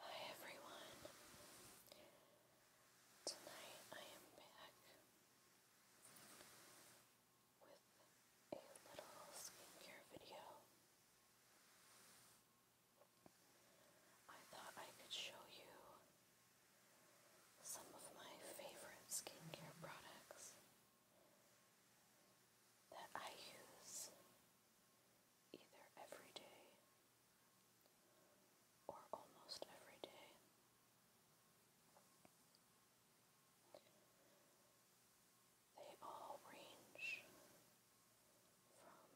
Hi everyone. Tonight I am back with a little skincare video. I thought I could show you some of my favorite skincare products that I use either every day or almost every day. They all range from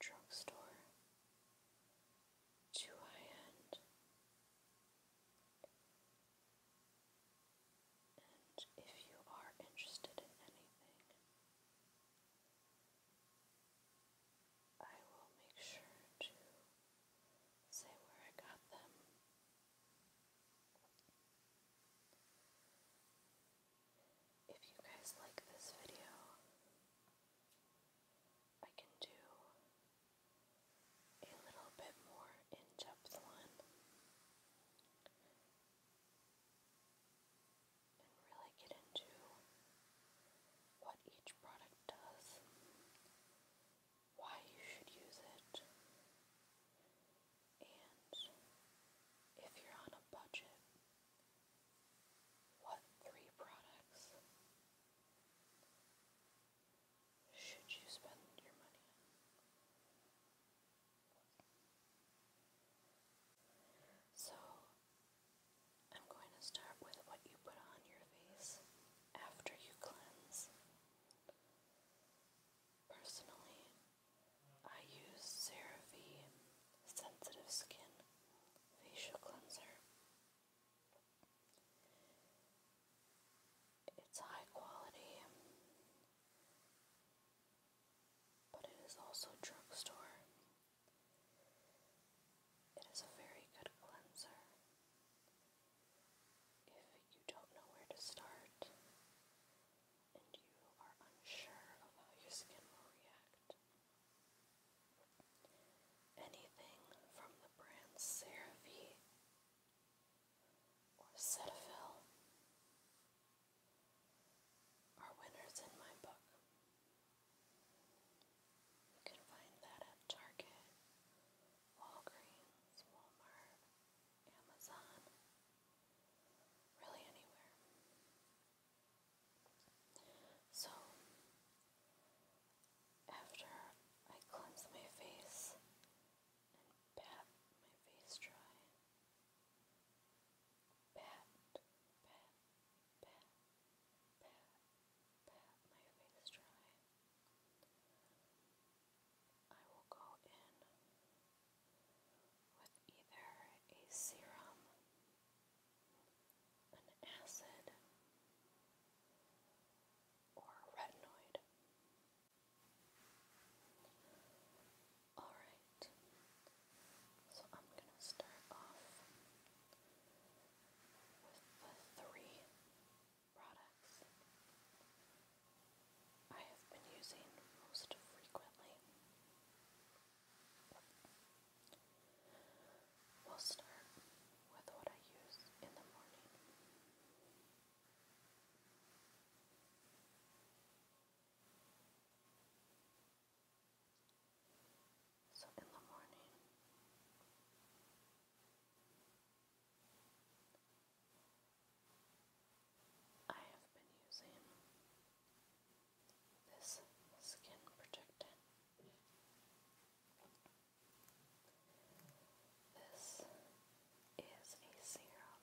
drugstore to high end if you are interested in anything, I will make sure to say where I got them. If you guys like this video, I can do a little bit more in depth one and really get into what each product does, why you should use it, and if you're on a budget, what three products should you spend your money on? So, I'm going to start with what you put on your face after you cleanse. Personally, I use CeraVe Sensitive Skin Facial Cleanser. It's high quality but it is also drugstore. It is a very good cleanser. If you don't know where to start and you are unsure of how your skin will react, anything from the brand CeraVe or Cetaphil are winners in my book. You can find that at Target, Walgreens, Walmart, Amazon, really anywhere. So, after I cleanse my face and pat my face dry, Pat, pat, pat, pat, pat my face dry. I will go in with either a serum, an acid, or a retinoid. Alright, so I'm going to start off with the three products I have been using most frequently. We'll start with what I use in the morning. So in the morning, I have been using this skin protectant. This is a serum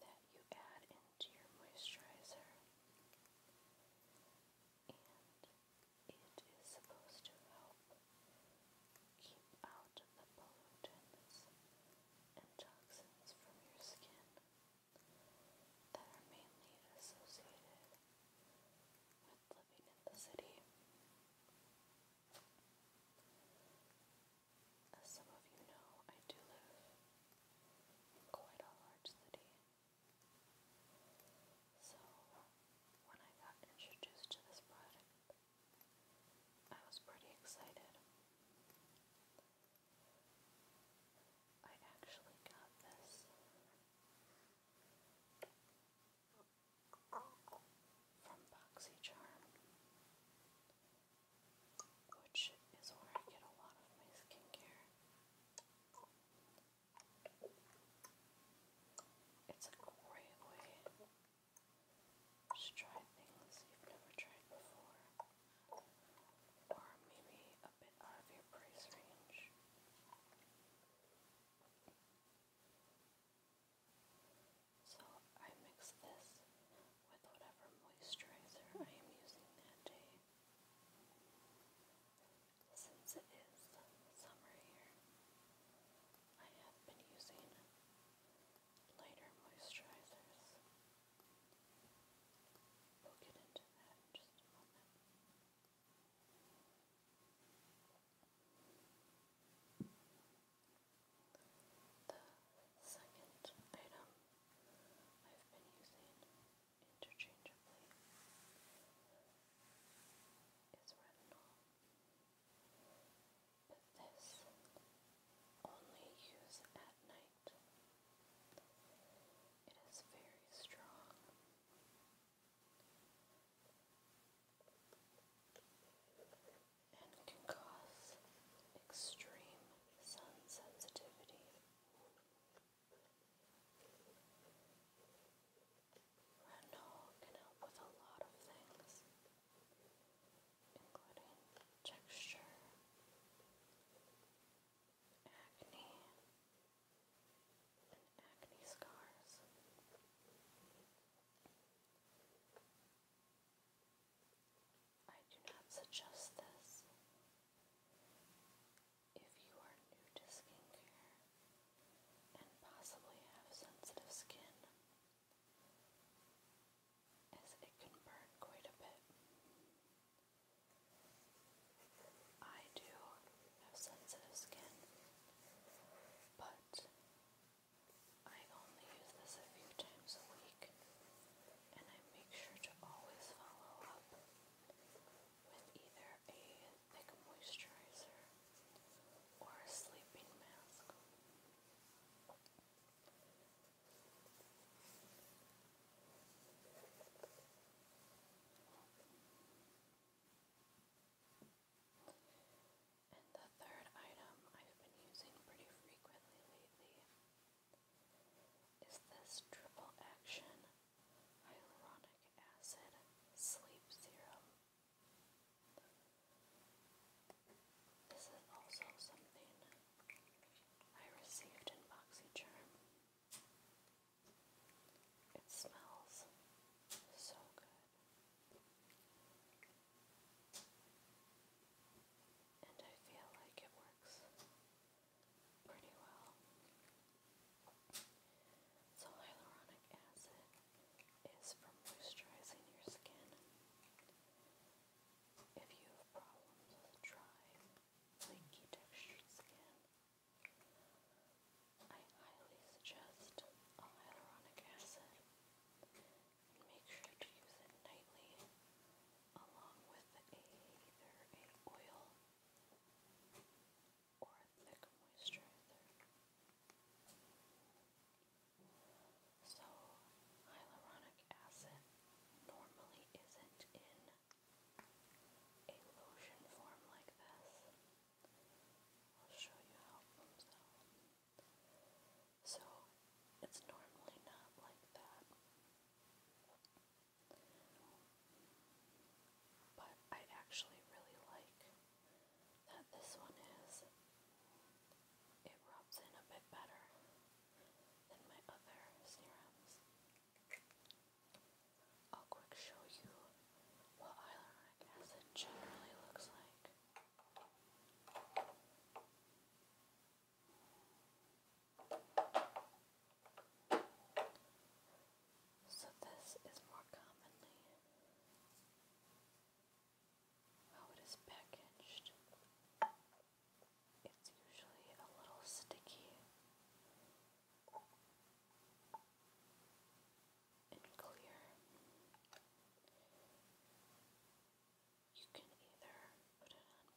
that you add into your moisturizer, and it is supposed to help keep out the pollutants and toxins from your skin that are mainly associated with living in the city. As some of you know, I do live in quite a large city. So, when I got introduced to this product, I was pretty excited. I actually got this from BoxyCharm which is where I get a lot of my skincare. It's a great way to try things you've never tried before, or maybe a bit out of your price range. So I mix this with whatever moisturizer I am using that day. Since it is summer here, I have been using lighter moisturizers. We'll get into that just a moment. The second item I've been using interchangeably is retinol, but this only use at night. It is very strong. And can cause extreme sun sensitivity Renault can help with a lot of things, including texture, acne, and acne scars. I do not suggest this. If you are new to skincare and possibly have sensitive skin, as it can burn quite a bit. I do have sensitive skin, but I only use this a few times a week and I make sure to always follow up with either a thick moisturizer or a sleeping mask. And the third item I've been using pretty frequently lately is this triple action hyaluronic acid sleep serum? This is also something I received in BoxyCharm. It smells so good. And I feel like it works pretty well. So hyaluronic acid is for moisturizing your skin. If you have problems with dry, flaky textured skin, I highly suggest hyaluronic acid make sure to use it nightly along with either an oil or a thick moisturizer. So hyaluronic acid normally isn't in a lotion form like this. I'll show you how So it's normally not like that. But I actually really like that this one is. It rubs in a bit better than my other serums. I'll quick show you what hyaluronic acid generally looks like. So this is more commonly how it is packaged. It's usually a little sticky and clear. You can either put it on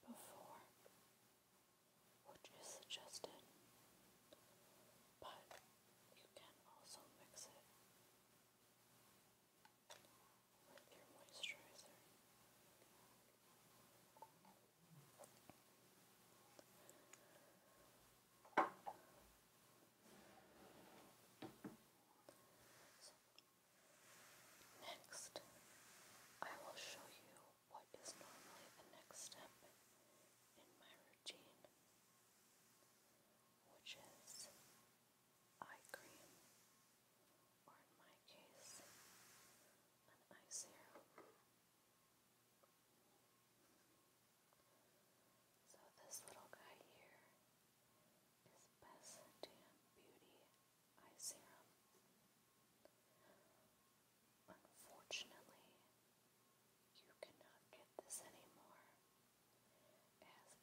before which is suggested, but you can also mix it with your moisturizer. next, I will show you what is normally the next step in my routine, which is eye cream, or in my case, an eye serum. So this little guy here is Best Damn Beauty Eye Serum. Unfortunately, you cannot get this anymore, as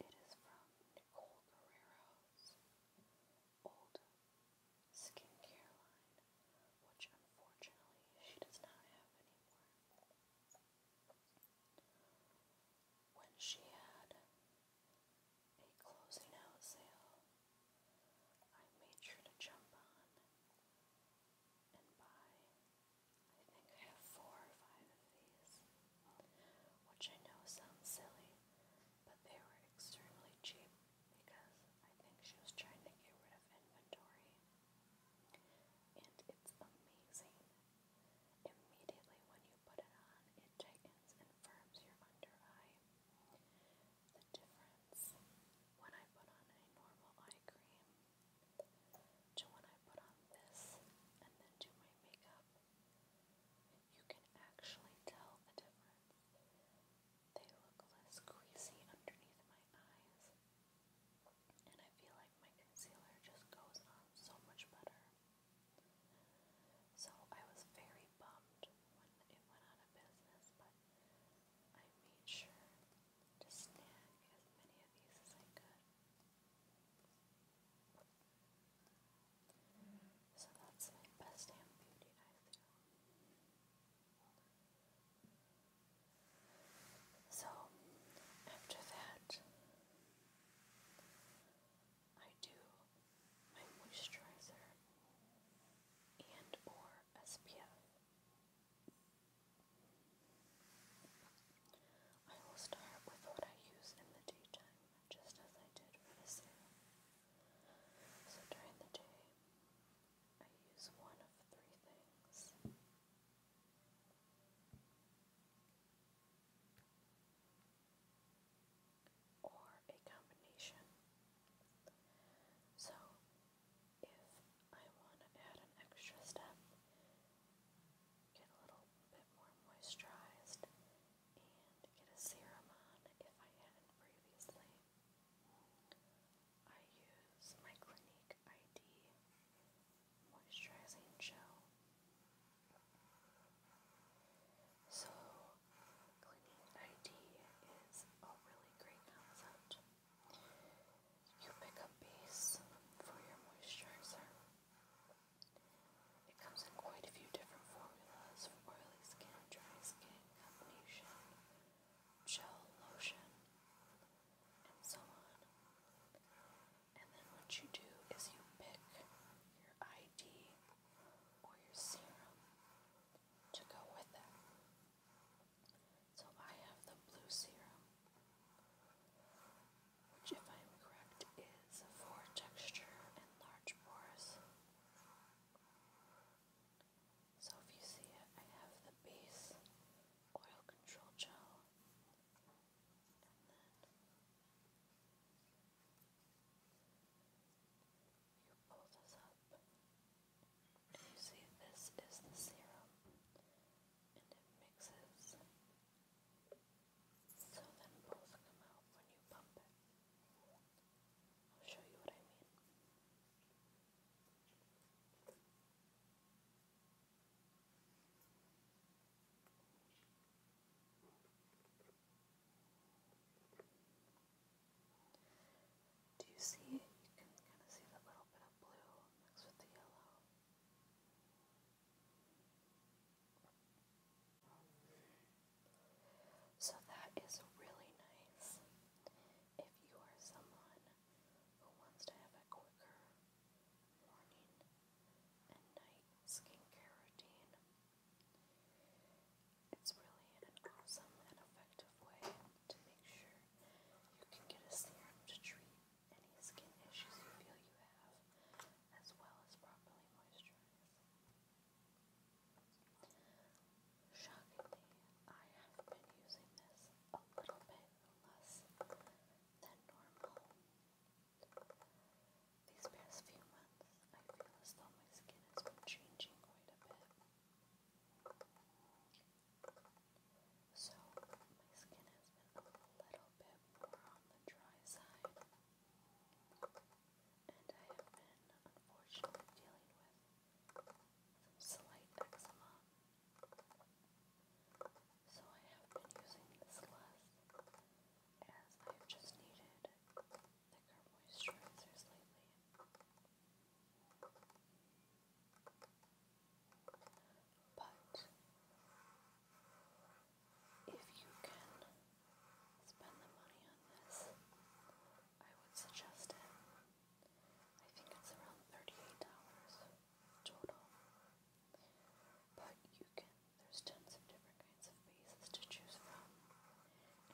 it is from Nicole Guerrero's old skincare line, which unfortunately she does not have anymore. When she had a closing out sale, I made sure to jump on and buy, I think I have four or five of these, which I know sounds silly, but they were extremely cheap because I think she was trying to get rid of inventory. And it's amazing. Immediately when you put it on, it tightens and firms your under eye the difference when I put on a normal eye cream to when I put on this and then do my makeup. You can actually tell the difference. They look less greasy underneath my eyes, and I feel like my concealer just goes on so much better. So I was very bummed when it went out of business, but I made sure to snag as many of these as I could. So that's my best damn beauty I feel. So after that I do my moisturizer and or SPF. I will start with what I use in the daytime, just as I did for the sale. So during the day, I use one of three things. Or a combination. So, if I want to add an extra step, get a little bit more moisturized, and get a serum on if I hadn't previously. I use my Clinique ID moisturizing gel. So, Clinique ID is a really great concept. You pick up base for your moisturizer. It comes in quite a few different formulas for oily skin, dry skin, combination, gel, lotion, and so on. And then what you do is you pick your ID or your serum to go with it. So I have the blue serum, which, if I am correct, is for texture and large pores. So if you see it, I have the base oil control gel, and then you pull this up, and you see this is the serum, and it mixes, so then both come out when you pump it. I'll show you what I mean. Now do you see it? You can kind of see that little bit of blue mixed with the yellow. So that is really nice. If you are someone who wants to have a quicker morning and night skincare routine, it's really an awesome and effective way to make sure you can get a serum to treat any skin issues you feel you have, as well as properly moisturize. Shockingly, I have been using this a little bit less than normal. These past few months, I feel as though my skin has been changing quite a bit. So my skin has been a little bit more on the dry side. And I have been unfortunately dealing with some slight eczema. So I have been using this less as I have just needed thicker moisturizers lately. But if you can spend the money on this, I would suggest it. I think it's around $38 total. But you can, there's tons of different kinds of bases to choose from,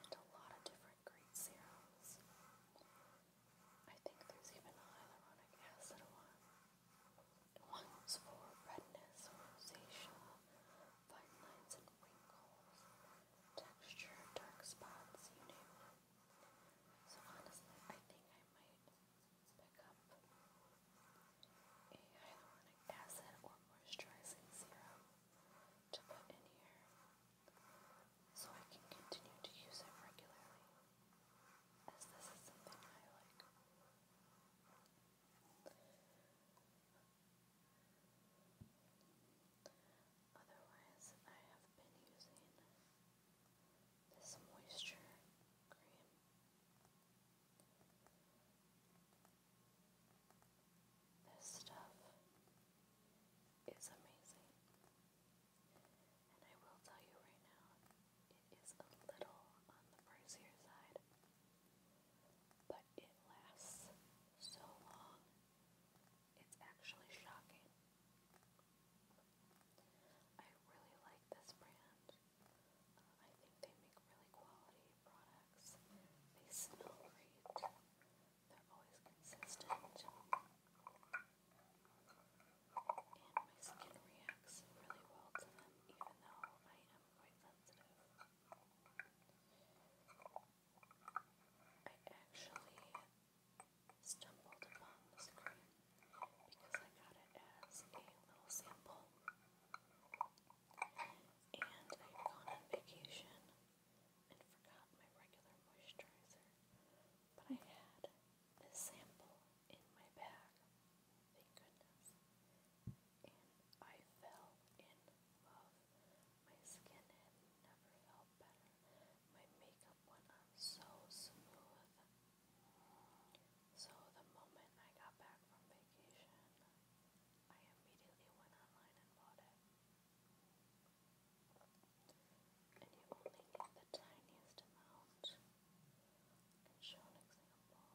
and a lot of different great serums. I think there's even hyaluronic acid one. One's for redness, rosacea, fine lines and wrinkles, texture, dark spots, you name it. So honestly, I think I might pick up a hyaluronic acid or moisturizing serum to put in here so I can continue to use it regularly, as this is something I like. Otherwise, I have been using this moisture cream. This stuff is amazing. And I will tell you right now, it is a little on the pricier side, but it lasts so long, it's actually shocking. I really like this brand. Uh, I think they make really quality products. They smell great. They're always consistent. And my skin reacts really well to them, even though I am quite sensitive. I actually stumbled upon this cream because I got it as a little sample. And I had gone on vacation and forgot my regular moisturizer but I had this sample in my bag, thank goodness, I fell in love. My skin had never felt better. My makeup went on so smooth. So the moment I got back from vacation, I immediately went online and bought it and you only need the tiniest amount. I can show an example. So for my whole face,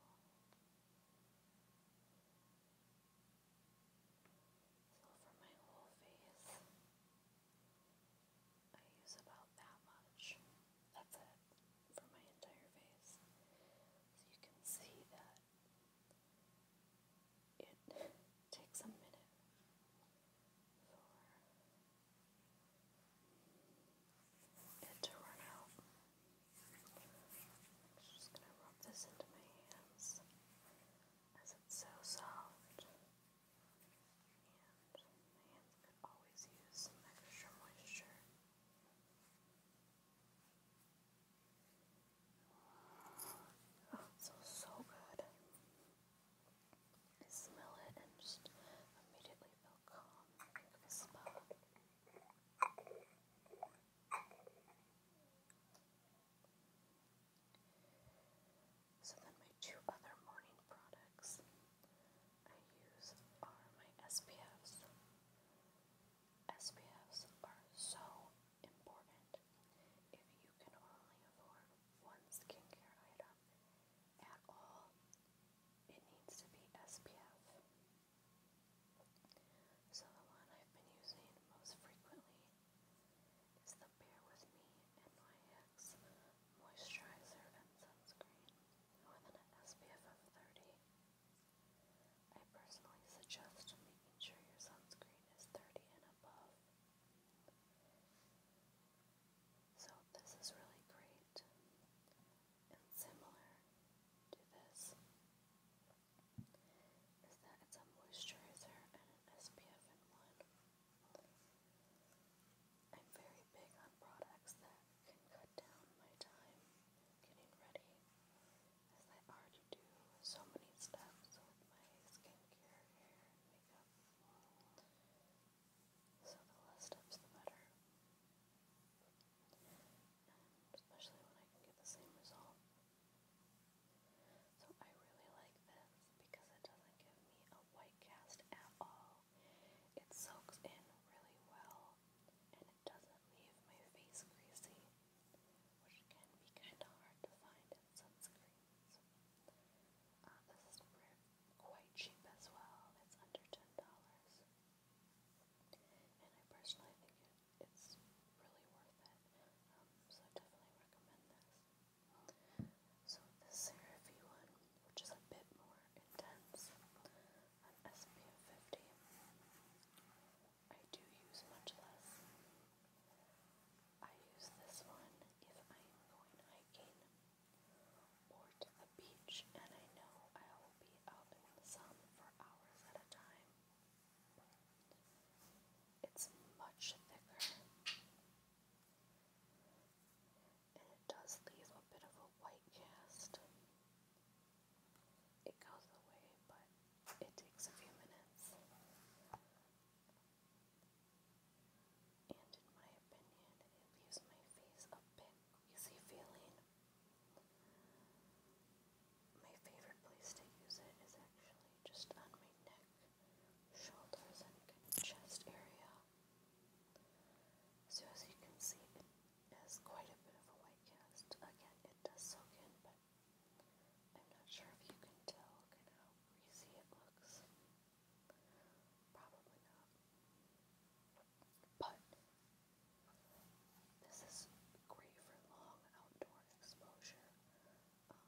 I use about that much. That's it for my entire face. So you can see that it takes a minute for it to run out. I'm just going to rub this into my hands as it's so soft. And my hands could always use some extra moisture. Oh, it smells so good. I smell it and just immediately feel calm. I a spa. So then my two other morning products I use are my SPFs. SPFs are so important. If you can only afford one skincare item, at all, it needs to be SPF. So the one I've been using most frequently is the Bear With Me NYX Moisturizer and Sunscreen with an SPF of 30. I personally suggest making sure your sunscreen is 30 and above. So this is really great and similar to this is that it's a moisturizer and an SPF in one. I'm very big on products that can cut down my time getting ready as I already do so many steps with my skincare, hair, makeup. So the less steps, the better. especially when I can get the same result. So I really like this because it doesn't give me a white cast at all. It soaks in really well and it doesn't leave my face greasy, which can be kind of hard to find in sunscreen. Uh, this is quite cheap as well. It's under ten dollars, and I personally think it's really worth it. Um, so definitely recommend this. So this CeraVe one, which is a bit more intense, an SPF 50. I do use much less. I use this one if I am going hiking or to the beach, and I know I will be out in the sun for hours at a time. It's much thicker, and it does leave a bit of a white cast. It goes away, but it takes a few minutes. And in my opinion, it leaves my face a bit greasy feeling. My favorite place to use it is actually just on my neck, shoulders, and chest area. So as you can see, it has quite a bit of a white cast. Again, it does soak in, but I'm not sure if you can tell kind of greasy it looks. Probably not. But this is great for long outdoor exposure. Um,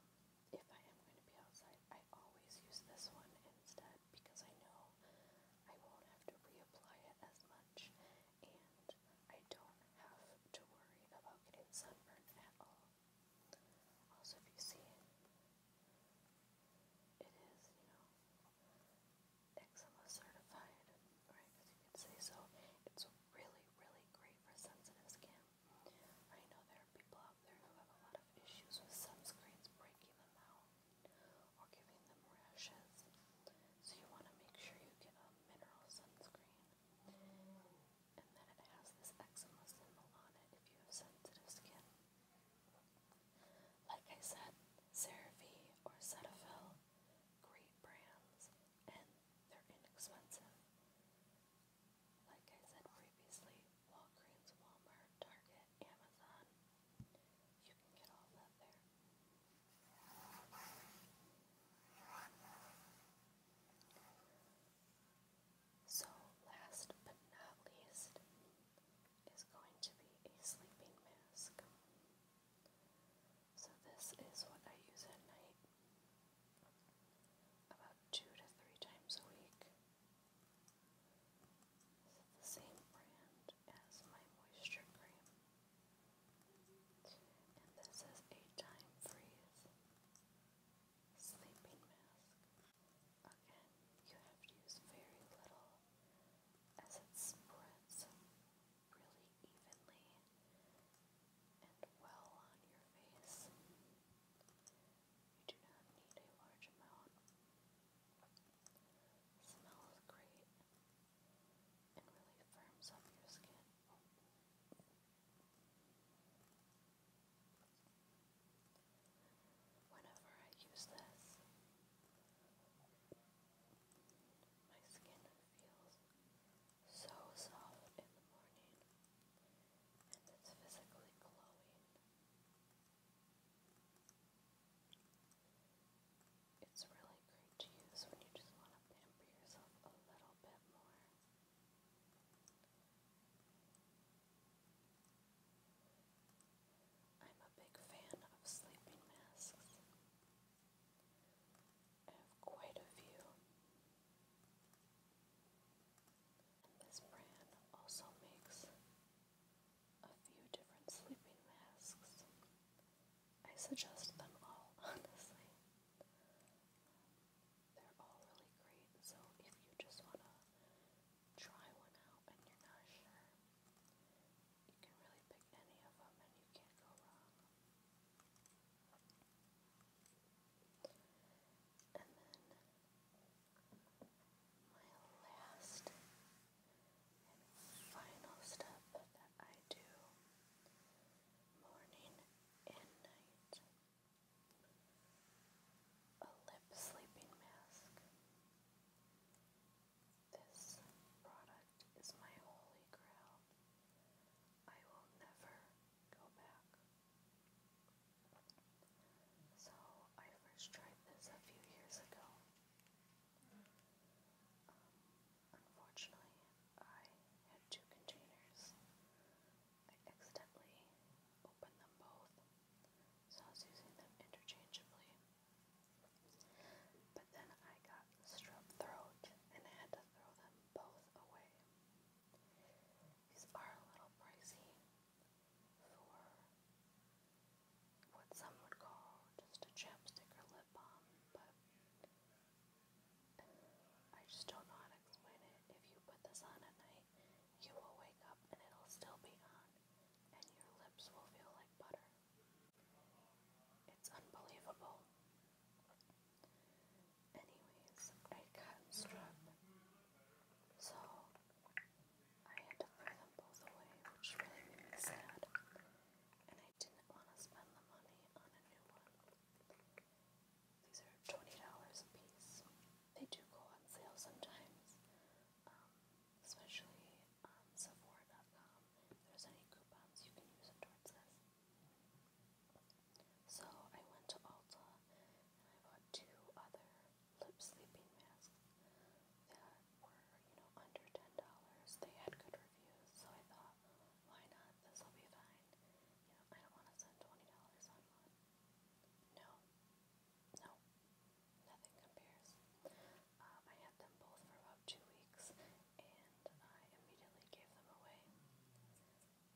if I am going to be outside, I always use this one instead because I know I won't have to reapply it as much and I don't have to worry about getting sunburned at all. Also, if you see it is, you know, eczema certified, right? you can see, so it's really, really great for sensitive skin. I know there are people out there who have a lot of issues with sunscreens breaking them out or giving them rashes, so you want to make sure you get a mineral sunscreen. And then it has this eczema symbol on it if you have sensitive skin. Like I said, CeraVe or Cetaphil, great brands, and they're inexpensive. Like I said previously, Walgreens, Walmart, Target, Amazon, you can get all that there. So, last but not least, is going to be a sleeping mask. So this is what I use at night about two to three times a week. This the same brand as my moisture cream. And this is a time freeze sleeping mask. Again, you have to use very little as it spreads really evenly and well on your face. You do not need a large amount. Smells great and really firms up your skin. Whenever I use this, my skin feels so soft in the morning and it's physically glowing. It's really great to use when you just want to pamper yourself a little bit more. I'm a big fan of sleeping masks. I have quite a few. And this brand also makes a few different sleeping masks. I suggest them all, honestly. They're all really great, so if you just want try one out and you're not sure, you can really pick any of them and you can't go wrong. And then my last and final step that I do morning and night a lip sleeping mask. This product is my holy grail. I will never go back. So, I first tried this a few years ago. Um, unfortunately, I had two containers. I accidentally opened them both, so I was using them interchangeably. But then I got strep throat and I had to throw them both away. These are a little pricey for what some would call just a chapstick or lip balm, but I just don't know how to explain it. If you put this on at night, you will wake up and it'll still be on and your lips will feel like butter. It's unbelievable. Anyways, I cut strip, so I had to throw them both away, which really made me sad, and I didn't want to spend the money on a new one. These are $20 a piece. They do go on sale sometimes, um, especially Sephora.com, there's any coupons, you can use towards this. So I went to Ulta and I bought two other lip sleeping masks that were, you know, under ten dollars. They had good reviews, so I thought, why not? This will be fine. You know, I don't want to spend twenty dollars on one. No, no, nothing compares. Um, I had them both for about two weeks and I immediately gave them away.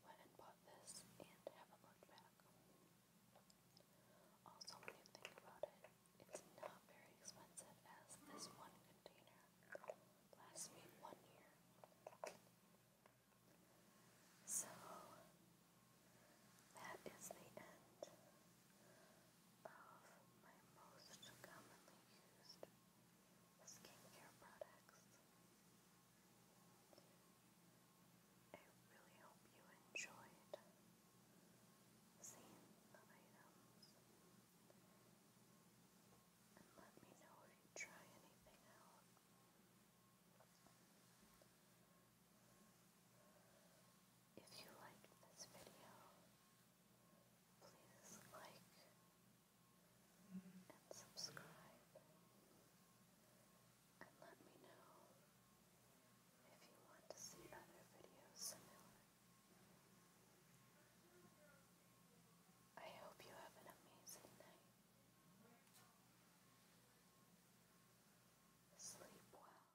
Went and bought this and haven't looked back. Also, when you think about it, it's not very expensive as this one container lasts me one year. So, that is the end of my most commonly used skincare products. I really hope you enjoyed seeing the items. And let me know if you try anything out. If you liked this video, please like and subscribe and let me know if you want to see other videos similar. I hope you have an amazing night. Sleep well.